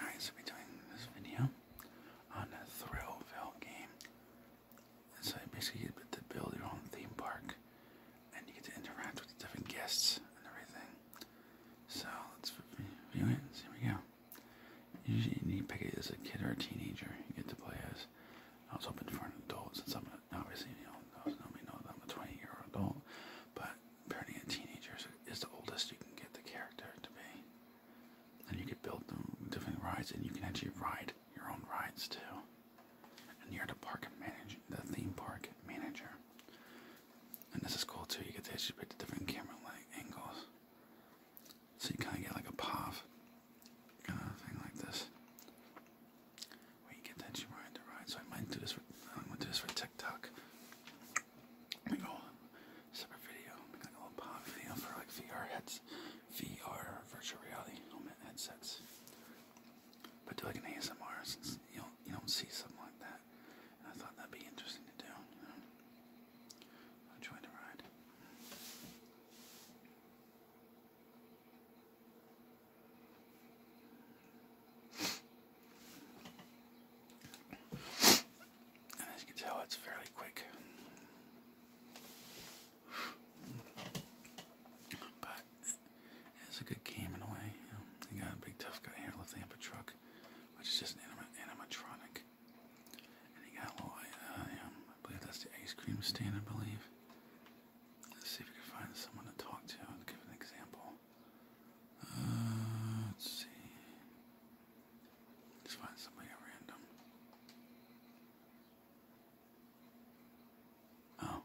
Alright, so we're doing this video on a Thrillville game. So you basically get to build your own theme park and you get to interact with the different guests and everything. So let's view it. here we go. Usually you need to pick it as a kid or a teenager. You get to play as I was hoping for an adult since I'm obviously, you know, those me know that I'm a 20 year old adult, but parenting a teenager is the oldest you can get the character to be. And you can build them different rides, and you can actually ride your own rides too. And you're the park manager, the theme park manager. And this is cool too, you get to actually pick the different camera like angles. So you kind of get like a pop kind like this. Where you get tension ride to ride. So I might do this for TikTok. Make a separate video, make like a little pop video for like VR heads, VR virtual reality helmet headsets. But do like an ASMR since you don't you don't see something like that. I thought that'd be interesting to do. You the ride you can tell, it's fairly quick. But it's a good game in a way. You, got a big tough guy here lifting up a truck, which is just an anima animatronic. And you got a little, uh, I believe that's the ice cream stand, I believe. Let's see if we can find someone to talk to and give an example. Uh, let's see. Let's find somebody at random. Oh. Oh,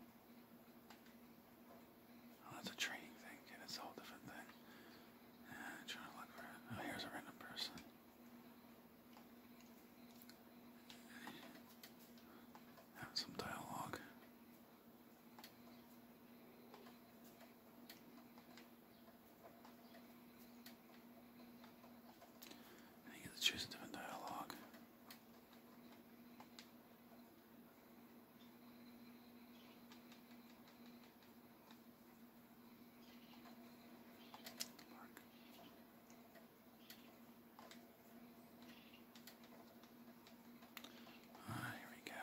that's a training thing, dude. It's a whole different thing. Yeah, trying to look for it. Oh, here's a random person. Have some dialogue. And you to choose a different dialogue. Ah, here we go.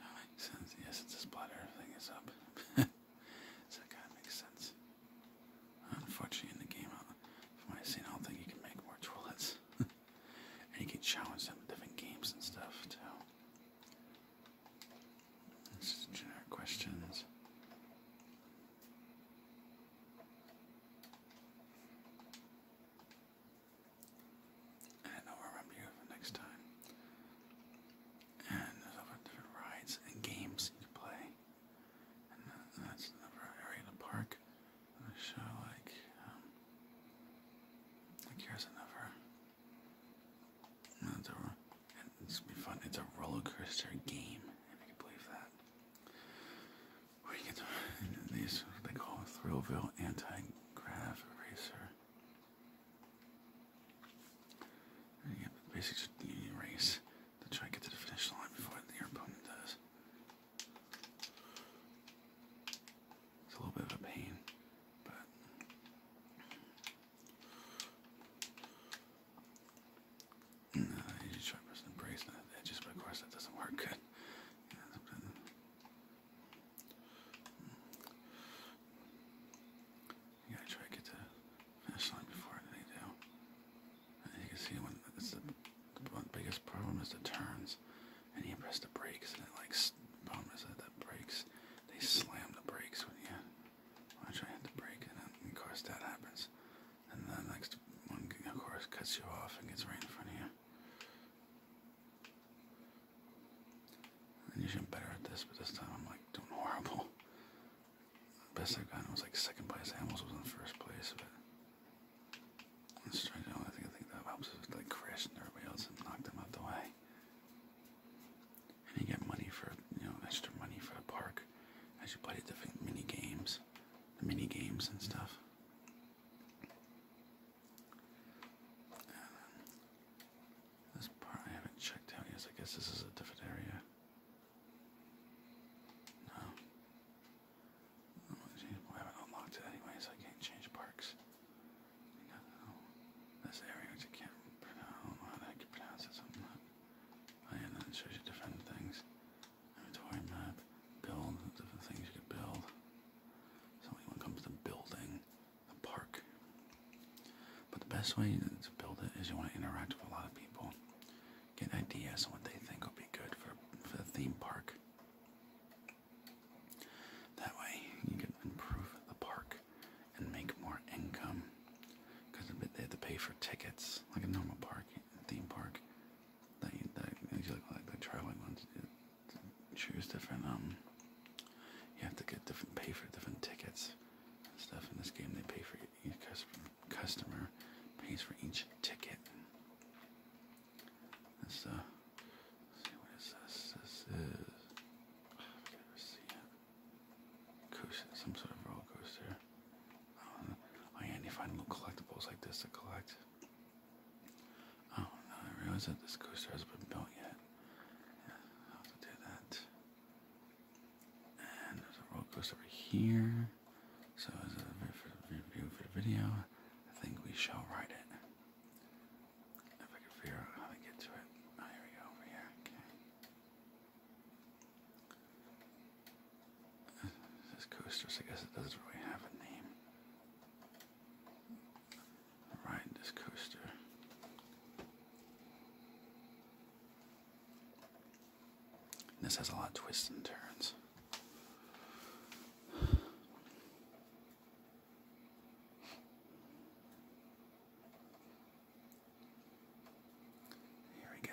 that makes sense. Yes, it's a splatter. Everything is up. so that kind of makes sense. Unfortunately, in the game, uh, from what I've seen, I don't think you can make more toilets. and you can challenge them with different games and stuff, too. It's just generic questions. And I'll remember you for next time. And there's different rides and games you play. And that's another area in the park. I'm going like um, like here's another it's, a, it's gonna be fun. It's a roller coaster game. I can believe that. Where get these they call Thrillville anti-grav eraser. basically just you to try to get to the finish line before your opponent does. It's a little bit of a pain, but no, you just try to press embrace that. It just, of course, that doesn't work good. gotta try get to finish line before they do. And you can see when it's the, the biggest problem is the turns and you press the brakes, and it like bumpers at the brakes. They slam the brakes when you try to hit the brake, and of course that happens. And then next one, of course, cuts you off and gets right in front of you. And usually I'm better at this, but this time I'm like doing horrible. best I have got was like second place. Animals was in first place, but let's try to. I think I think that helps us like and everybody else and knock them out the way. And you get money for, you know, extra money for the park as you play the different mini games, the mini games and stuff. Um, this part I haven't checked out yet. I guess this is a different area. No. I haven't unlocked it anyway, so I can't change parks. I don't know. This area which I can't pronounce, I can pronounce it something like I and then it shows you different things. Inventory map, build, different things you could build. So when it comes to building the park. But the best way to build it is you want to interact with a lot of people. Get ideas on what they think would be good for, for the theme park. That way you can improve the park and make more income. Because they have to pay for tickets, like a normal park, a theme park. That you, that you look like the traveling ones. Choose different. Um, you have to get different, pay for different tickets and stuff. In this game, they pay for each customer, customer pays for each ticket. That's uh see what is this? This is I can never see it. some sort of roller coaster. Um, oh yeah, little collectibles like this to collect. Oh no, I realize that this coaster hasn't been built yet. Yeah, I'll do that. And there's a roller coaster over here. So as a review for the video, I think we shall ride it. If I can figure out how to get to it. Oh, here we go, over here. Okay. This coasters, I guess it doesn't really have a name. Ride this coaster. this has a lot of twists and turns. Here we go.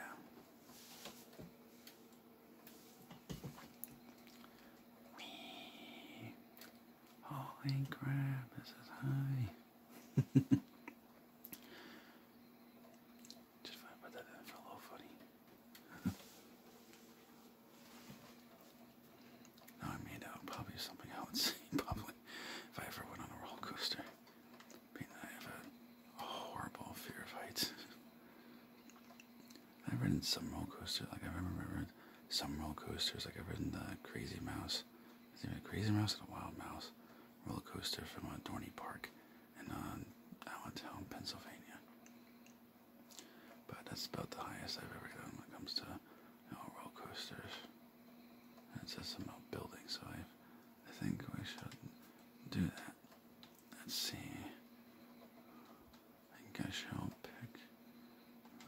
Wee. Holy oh, crap, this is high. Just want to put that a little funny. Now I made out probably something I would see probably if I ever went on a roller coaster. I mean, I have a horrible fear of heights. I've ridden some roller coasters, like I remember some roller coasters, like I've ridden the Crazy Mouse. Is it a Crazy Mouse or a Wild Mouse roller coaster from uh, Dorney Park in uh, Allentown, Pennsylvania. But that's about the highest I've ever gone when it comes to you roller coasters. And it says something about buildings, so I, think we should do that. Let's see. I think I shall pick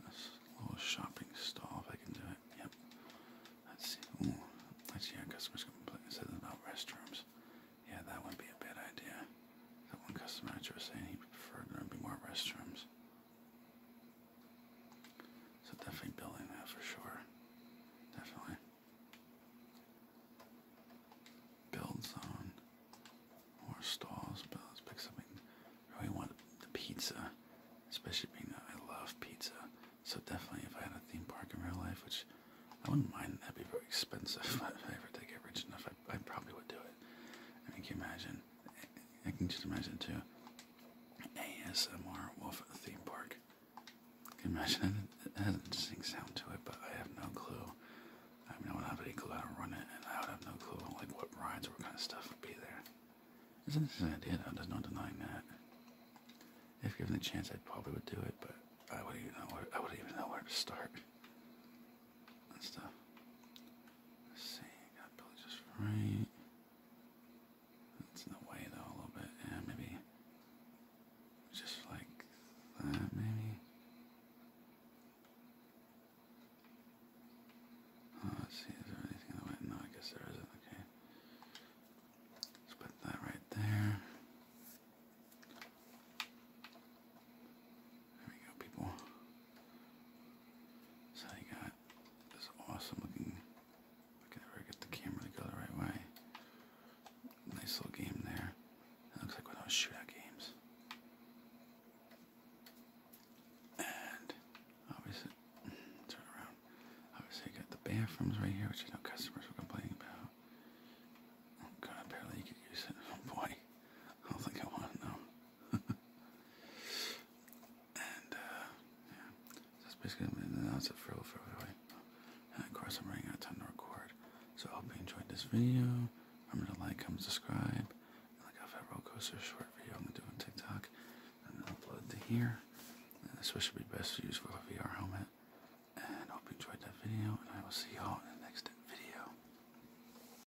this little shopping stall if I can do it. Yep. Let's see. Ooh, let's see our customers complain. It says about restrooms. Yeah, that would be a bad idea. That one customer I was saying he preferred there to be more restrooms. So definitely building that for sure. Definitely. Build zone. More stalls. But let's pick something. really want the pizza. Especially being that I love pizza. So definitely if I had a theme park in real life, which I wouldn't mind, that'd be very expensive. if I ever did get rich enough, I, probably would do it. can you imagine I can just imagine it too. ASMR Wolf theme park. I can imagine it, it has a interesting sound to it, but I have no clue. I mean, I would have any clue how to run it, and I would have no clue like what rides or what kind of stuff would be there. It's an idea, though. There's no denying that. If given the chance, I probably would do it, but I wouldn't even know where I wouldn't even know where to start and stuff. Let's see, got Billy just right. It's in the way though a little bit. Yeah, maybe just like that, maybe. Oh, see, is there anything in the way? No, I guess there isn't. Okay. Let's put that right there. There we go, people. So I got this awesome looking. I can never get the camera to go the right way. Nice little game there. It looks like one of those shootout games. And obviously, turn around. Obviously, I got the bathrooms right here, which I know customers were complaining about. Oh god, apparently you could use it. Oh boy. I don't think I want to know. and, uh, yeah. That's basically that's it for for anyway. And of course, I'm running out of time to record. So I hope you enjoyed this video. Remember to like, comment, subscribe. And like I've had roller coaster short video I'm gonna do on TikTok. And then upload to here. And this would be best to use for a VR helmet. And hope you enjoyed that video. And I will see y'all in the next video.